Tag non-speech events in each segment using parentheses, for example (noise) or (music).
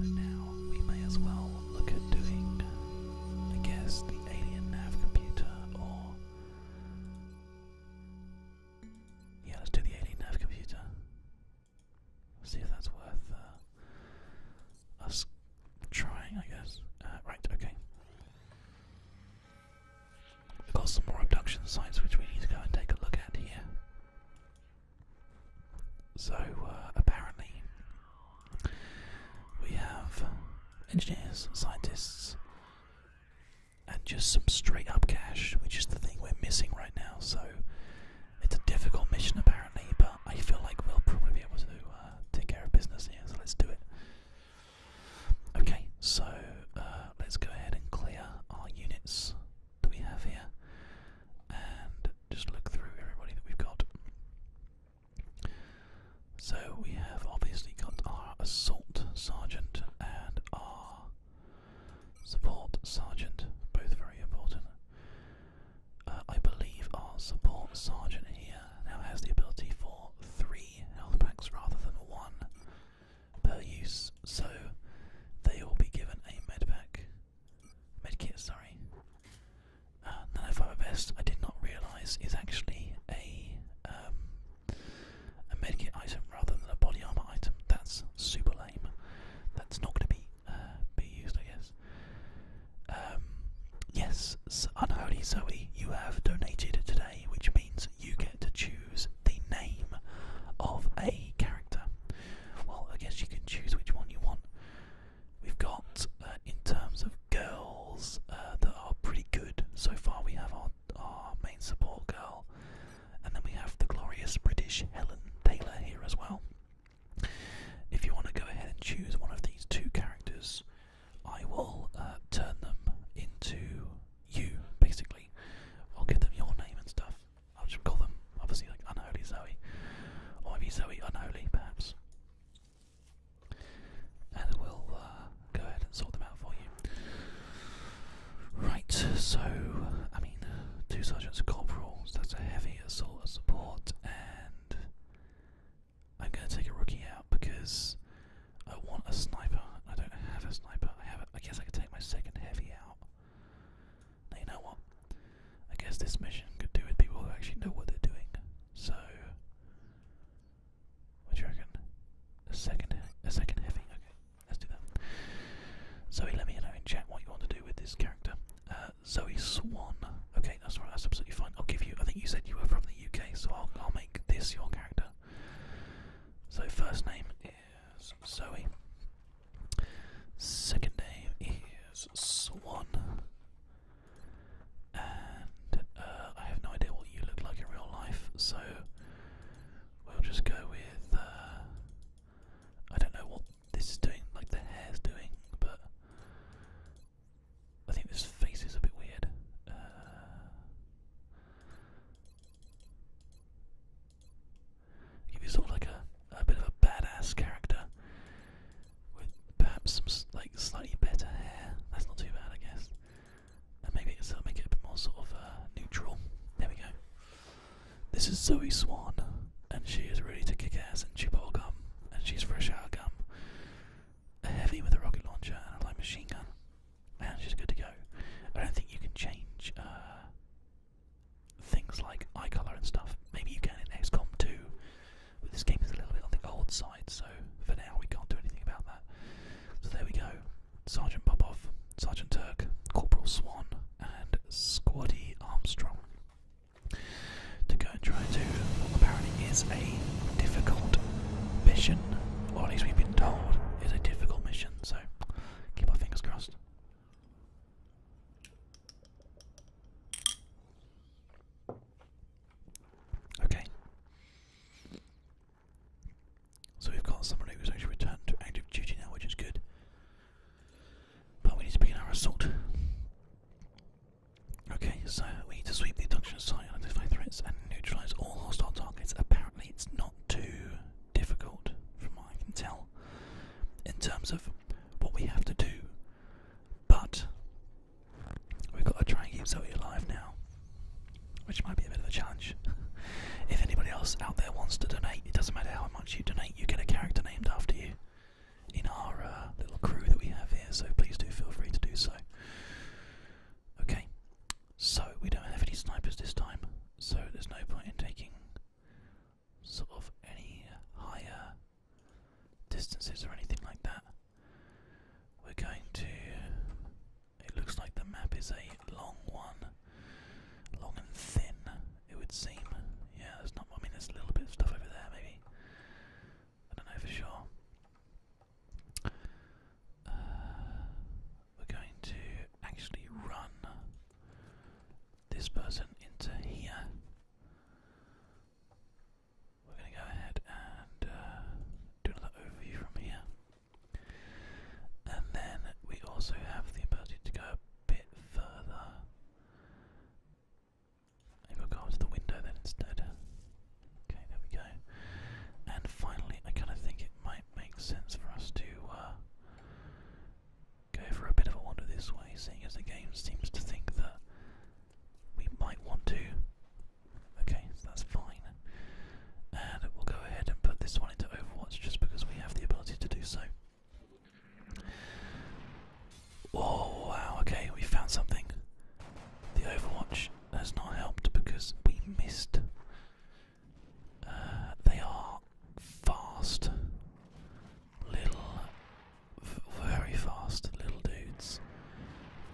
So now we may as well look at doing, I guess, the alien nav computer or. Yeah, let's do the alien nav computer. See if that's worth uh, us trying, I guess. Uh, right, okay. We've got some more abduction sites which we need to go and take a look at here. So, uh, apparently, we have engineers, scientists, and just some straight up cash, which is the thing we're missing right now. So, it's a difficult mission apparently, but I feel like we'll probably be able to uh, take care of business here, so let's do it. Okay, so uh, let's go ahead and clear our units that we have here and just look through everybody that we've got. So we have obviously got our assault sergeant and our support sergeant, both very important. Uh, I believe our support sergeant here now has the ability for three health packs rather than one per use, so they will be given a medpack, medkit. Sorry. Uh, Nano oh Fiber Vest, I did not realise, is actually a um, a medkit item rather than a body armor item. That's super lame. That's not going to be uh, be used, I guess. Um, yes, Unholy Zoe, you have donated today, which means you get to choose the name of a character. Well, I guess you can choose which one you want. We've got, uh, in terms of girls, uh, that are pretty good. So far, we have our, our main support girl, and then we have the glorious British Helen Taylor here as well. If you want to go ahead and choose one of these two characters, I will uh, turn them into you, basically. I'll give them your name and stuff. I'll just call them, obviously, like Unholy Zoe. Or maybe Zoe Unholy, perhaps. And we'll uh, go ahead and sort them out for you. Right, so, I mean, two sergeants corporals, that's a heavy assault of support, and I'm going to take a rookie out because I want a sniper. I don't have a sniper. I have. A, I guess I can take my second heavy out. Now you know what? I guess this mission could do with people who actually know what they're doing. So, what do you reckon? A second, a second heavy. Okay, let's do that. Zoe, let me know in chat what you want to do with this character. Uh, Zoe Swan. Okay, that's right. That's absolutely fine. I'll give you. I think you said you were from the UK, so I'll, I'll make this your character. So first name is Zoe. Second name is Swan. And uh, I have no idea what you look like in real life, so we'll just go with. Uh, I don't know what this is doing, like the hair's doing, but I think this face is a bit weird. Uh, give you sort like a, a bit of a badass character with perhaps some like slightly better hair. That's not too bad, I guess. And maybe it make it a bit more sort of uh, neutral. There we go. This is Zoe Swan, and she is ready to kick ass and chew ball gum, and she's fresh out of gum. A heavy with a rocket launcher and a light machine gun and she's good to go. I don't think you can change uh, things like eye colour and stuff. Maybe you can in XCOM too, but this game is a little bit on the old side, so for now we can't do anything about that. So there we go. Sergeant Popov, Sergeant Turk, Corporal Swan, and Squaddy Armstrong to go and try to what apparently is a difficult mission, or at we've been told is a difficult mission, so keep our fingers crossed. Okay. So we've got someone who's actually returned to active duty now, which is good. But we need to begin our assault. Okay, so we need to sweep the induction identify threats, and neutralize all hostile targets. Apparently, it's not too difficult, from what I can tell, in terms of what we have to do. But we've got to try and keep Zoe alive now, which might be a bit of a challenge. (laughs) if anybody else out there wants to donate, it doesn't matter how much you donate, you get a character named after you in our uh, little crew that we have here, so please do feel free to do so. Okay, so we don't have any snipers this time, so there's no point in taking sort of any higher distances or anything like that. We're going to. It looks like the map is a long one, long and thin, it would seem. Yeah, there's not. I mean, there's a little bit of stuff over there, maybe. I don't know for sure. Uh, we're going to actually run this person into here. We're going to go ahead and uh, do another overview from here. And then we also have the ability to go a bit further. we'll go to the window then instead. Okay, there we go. And finally, I kind of think it might make sense for us to uh, go for a bit of a wander this way, seeing as the game seems to think that we might want to. Okay, so that's fine. And we'll go ahead and put this one into Overwatch just because we have the ability to do so. Oh wow, okay, we found something. The Overwatch has not helped because we missed. Uh, they are fast, little, very fast little dudes,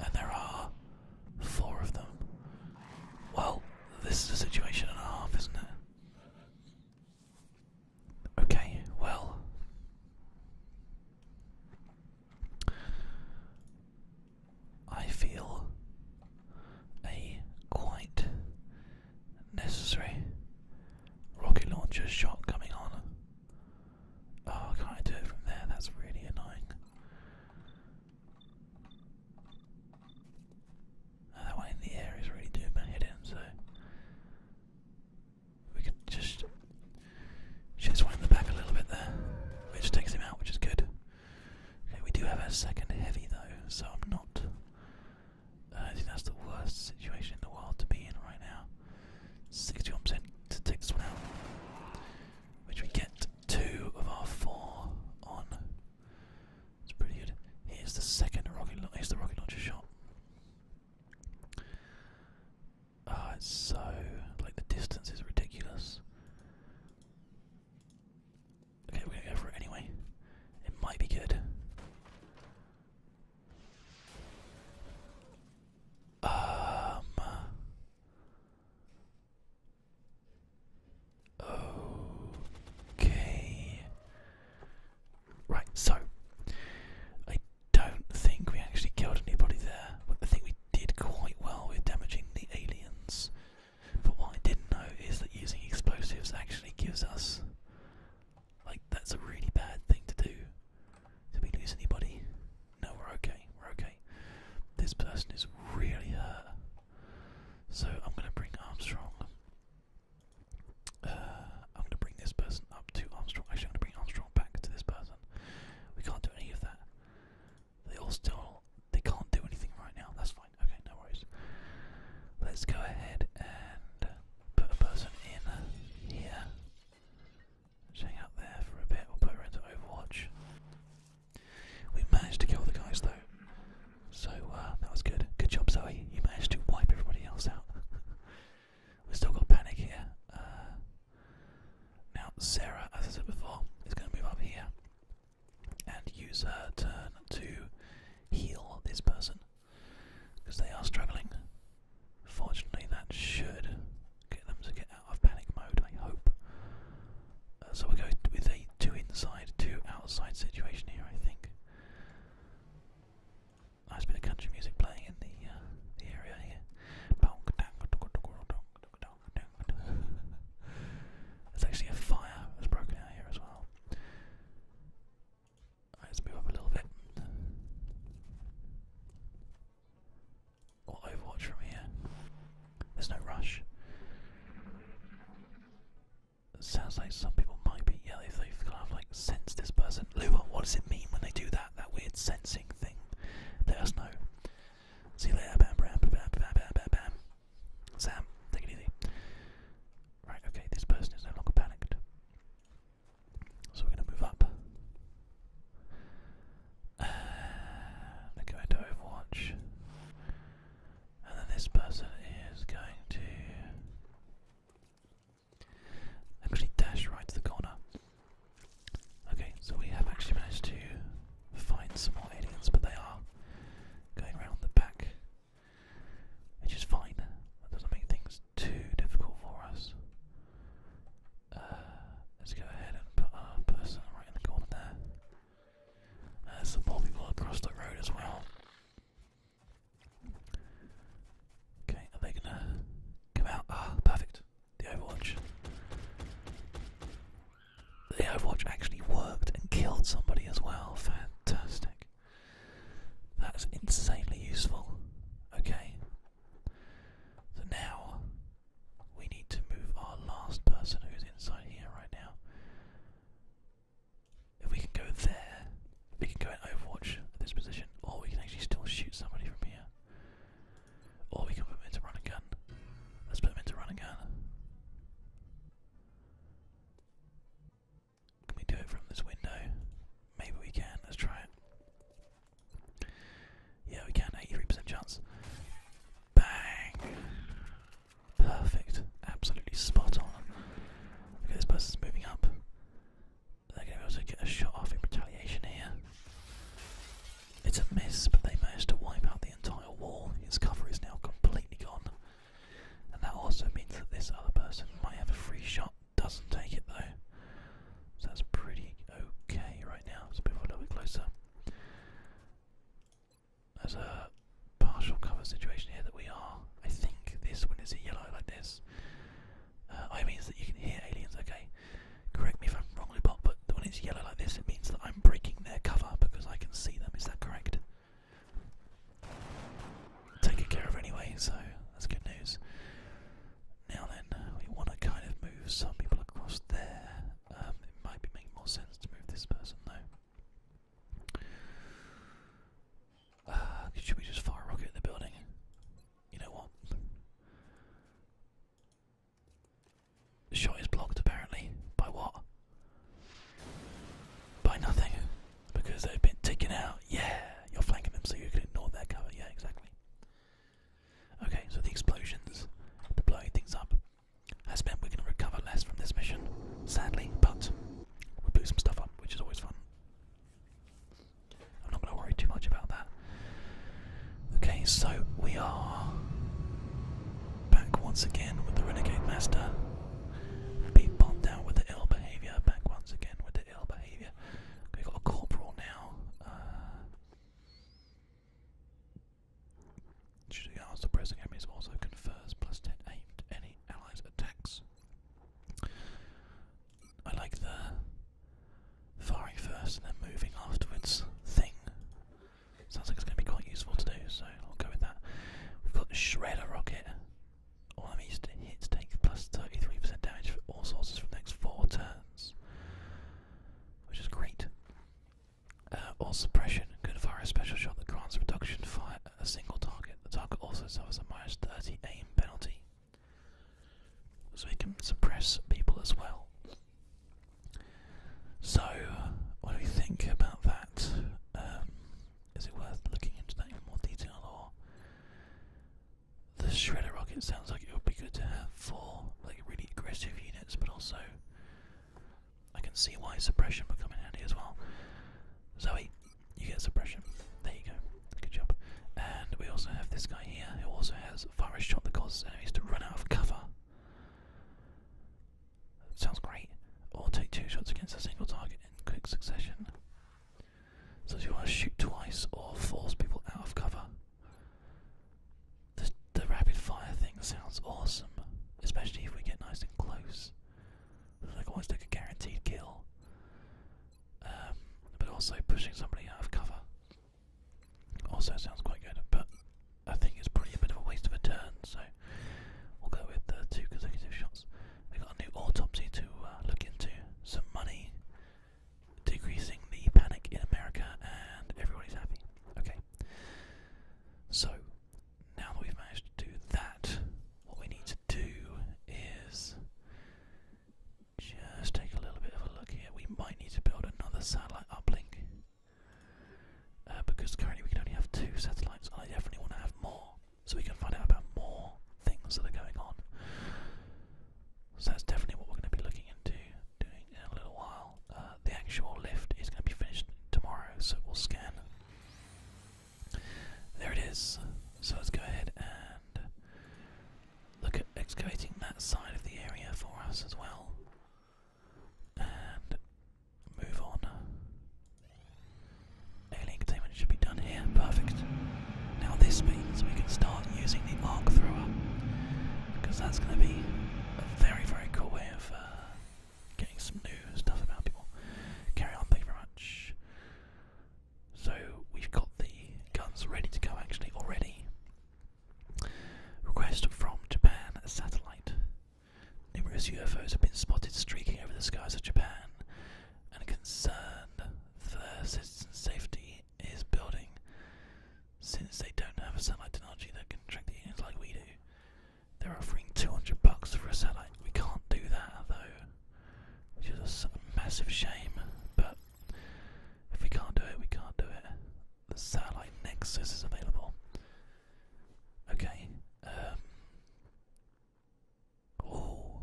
and there are four of them. Well, this is a situation and a half, isn't it? Okay, well, I feel a quite necessary rocket launcher shot coming on. Oh, can I do it from there? That's really annoying. that one in the air is really doing my head in, so we could just just went the back a little bit there, which takes him out, which is good. Okay, we do have our second heavy though, so I'm not. Uh, I think that's the worst situation in the world to be in right now. 61% to take this one out, which we get two of our four on. It's pretty good. Here's the second rocket. Here's the rocket launcher shot. Oh, so like the distance is ridiculous. Okay, we're gonna go for it anyway. It might be good. Um. Okay. Right, so I don't think we actually killed anybody there. I think we did quite well with damaging the aliens. But what I didn't know is that using explosives actually gives us. Like, that's a really bad thing to do. Did we lose anybody? No, we're okay, we're okay. This person is really hurt. So I'm gonna bring Armstrong. Uh, I'm gonna bring this person up to Armstrong. Actually, I'm gonna bring Armstrong back to this person. We can't do any of that. They all still they can't do anything right now. That's fine. Okay, no worries. Let's go ahead and put a person in here. hang out there for a bit. We'll put her into Overwatch. We managed to kill the guys though, so uh, that was good. Good job, Zoe. You managed to wipe everybody else out. (laughs) We've still got panic here. Uh, now, Sarah, as I said before, is going to move up here and use her turn to heal this person because they are struggling. Fortunately, that should get them to get out of panic mode, I hope. Uh, so we'll go with a two inside, two outside situation here, I think. Nice bit of country music playing in the, uh, the area here. (laughs) There's actually a fire that's broken out here as well. let's move up a little bit. Or overwatch from here. There's no rush. It sounds like some people might be, yeah, they they've kind of like sense this person. Luba, what does it mean when they do that? That weird sensing thing? Let us know. See you later. Bam, bam, bam, bam, bam, bam, bam. Sam, take it easy. Right, okay, this person is no longer panicked. So we're going to move up. Uh, they're going to And then this person is going to actually dash right to the corner. Okay, so we have actually managed to find some more aliens, but they are going around the back, which is fine. That doesn't make things too difficult for us. Uh, let's go ahead and put our person right in the corner there. there's uh, some more people across the road as well. Okay, are they gonna come out? Ah, perfect the Overwatch. The Overwatch actually worked and killed somebody as well. Fantastic. That's insanely useful. Okay. So now we need to move our last person who's inside here right now. If we can go there, we can go and Overwatch this position, or we can actually still shoot somebody from here. Or we can put him into run gun. Let's put him into run and gun. Can we do it from this window? Maybe we can. Let's try it. Yeah, we can. 83% chance. Bang! Perfect. Absolutely spot on. Okay, this person's moving up. They're going to be able to get a shot off in retaliation here. It's a mess, but they managed to wipe out the entire wall. Its cover is now completely gone. And that also means that this other person might have a free shot. Doesn't take it though. So that's pretty okay right now. let we're a little bit closer. There's a partial cover situation here that we are. I think this when it's a yellow like this. Uh, I mean, that you can hear aliens, okay? Correct me if I'm wrong, Lupot, but when it's yellow like this, it means that I'm breaking their cover because I can see them. Is that correct? Taken care of anyway, so that's good news. Now then, we want to kind of move some people across there. Um, it might be making more sense to move this person though. should uh, we just fire a rocket at the building? You know what? The shot is blocked apparently. By what? By nothing. Because they've been taken out. Yeah, you're flanking them so you can ignore their cover. Yeah, exactly. Okay, so the explosions, the blowing things up, has meant we're going to recover less from this mission, sadly, but we blew some stuff up, which is always fun. I'm not going to worry too much about that. Okay, so we are back once again with the Renegade Master. Being bombed out with the ill behaviour, back once again with the ill behaviour. got a corporal now. Uh, should we enemies also confers plus 10 to any allies' attacks? I like the firing first and then moving afterwards thing. Sounds like it's going to be quite useful to do, so I'll go with that. We've got Shredder Rocket. All I'm hits take plus 33% damage for all sources for the next 4 turns, which is great. Uh, or Suppression. can fire a special shot that grants reduction fire at a single target. The target also suffers a minus 30 aim penalty so we can suppress people as well. So, what do we think about that? Um, is it worth looking into that in more detail, or the shredder rocket sounds like it would be good to have four, like really aggressive units, but also I can see why suppression would come in handy as well. Zoe, you get suppression. There you go. Good job. And we also have this guy here who also has fire a shot that causes enemies to run out of cover. sounds great. Or take two shots against a single target in quick succession. So do you want to shoot twice or force people out of cover. The, rapid fire thing sounds awesome, especially if we get nice and close. like almost like a guaranteed kill. Um, but also pushing somebody out of cover. Also sounds quite good, but I think it's probably a bit of a waste of a turn, so we'll go with the two consecutive shots. We got a new autopsy to uh, look into, some money, decreasing the panic in America, and everybody's happy. Okay. So, now that we've managed to do that, what we need to do is just take a little bit of a look here. We might need to build another satellite uplink uh, because currently we can only have two satellites, and I definitely want to have more so we can find out about more things that are going on. So that's definitely what we're going to be looking into doing in a little while. Uh, the actual lift is going to be finished tomorrow, so we'll scan. There it is. So let's go ahead and look at excavating that side of the area for us as well. And move on. Alien containment should be done here. Perfect. Now this means we can start using the arc thrower. Because that's going to be a very, very cool way of uh, getting some new stuff about people. Carry on, thank you very much. So we've got the guns ready to go actually already. Request from Japan satellite. Numerous UFOs have been spotted streaking over the skies of Japan, and concern for citizens' safety is building. Since they don't have a satellite technology that can track the aliens like we do, they're offering 200 bucks for a satellite. We can't do that though, which is a massive shame, but if we can't do it, we can't do it. The satellite Nexus is available. Okay. Um. Oh.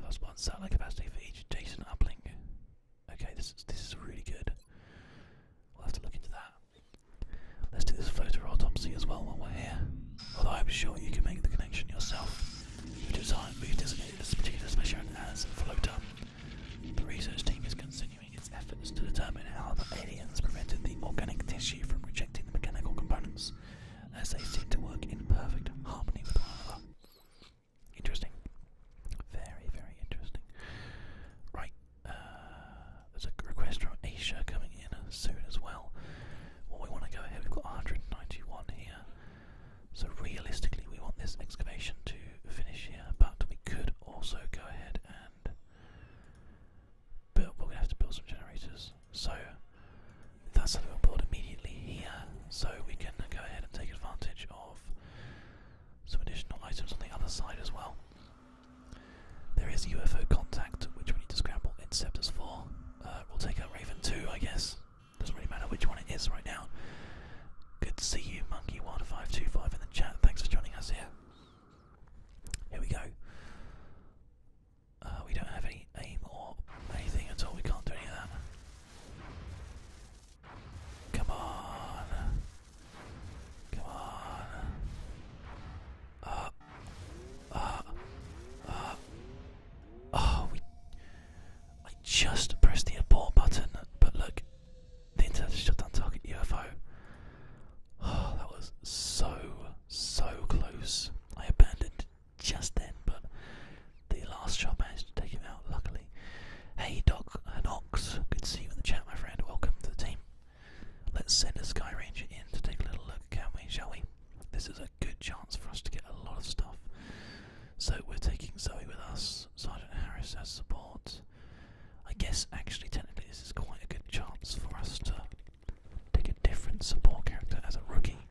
Plus one satellite capacity for each adjacent uplink. Okay, this is this is really good. We'll have to look into that. Let's do this photo as well while we're here. Although I'm sure you can make the connection yourself which is we've designated this particular mission as Floater. The research team is continuing its efforts to determine how the aliens prevented the organic tissue from rejecting the mechanical components, as they seem to work in perfect harmony with one another. Interesting. Very, very interesting. Right, uh, there's a request from Asia coming in soon as well. What well, we want to go ahead, we've got 191 here. So realistically, we want this excavation to finish here, but we could also go ahead and build. we have to build some generators, so that's something we'll build immediately here, so we can go ahead and take advantage of some additional items on the other side as well. There is UFO contact, which we need to scramble interceptors for. Uh, we'll take out Raven too, I guess. Doesn't really matter which one it is right now. Good to see you, Monkey Wilder in the chat. Thanks for joining us here. Here we go. Uh, we don't have any aim or anything at all. We can't do any of that. Come on. Come on. Uh, uh, uh, Oh, I just pressed the abort button, but look, the internet has shut down target UFO. Oh, that was so, so close. I abandoned just then, but the last shot managed to take him out, luckily. Hey, Doc Hanox, good to see you in the chat, my friend. Welcome to the team. Let's send a Sky Ranger in to take a little look, can we, shall we? This is a good chance for us to get a lot of stuff. So we're taking Zoe with us, Sergeant Harris as support. I guess actually technically this is quite a good chance for us to take a different support character as a rookie.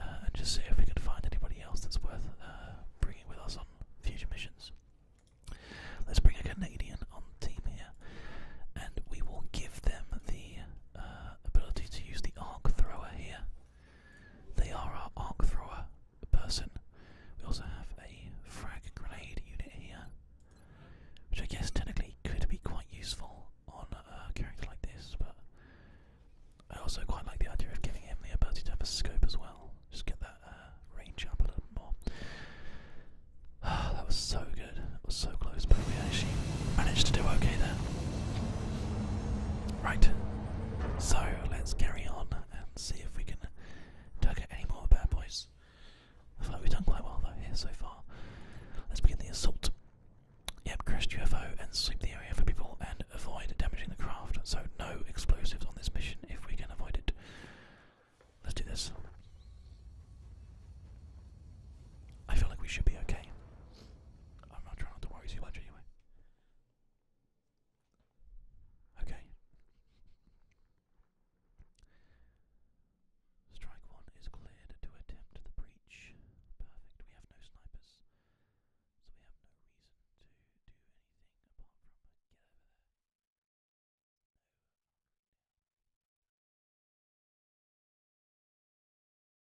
Uh, and just see if we can find anybody else that's worth uh, bringing with us on future missions. Let's bring a Canadian on team here, and we will give them the uh, ability to use the arc thrower here. They are our arc thrower person. We also have a frag grenade unit here, which I guess technically could be quite useful on a character like this, but I also quite like the idea of giving him the ability to have a scope as well. Just get that uh, range up a little more. (sighs) that was so good. It was so close, but we actually managed to do okay there. Right, so let's carry on and see if we can target any more bad boys. I think we've done quite well though here so far. Let's begin the assault. Yep, crashed UFO and sweep the area for people and avoid damaging the craft. So no explosives on this mission if we can avoid it. Let's do this. I feel like we should be okay. I'm not trying to worry too much anyway. Okay. Strike one is cleared to attempt the breach. Perfect. We have no snipers, so we have no reason to do anything apart from get over there.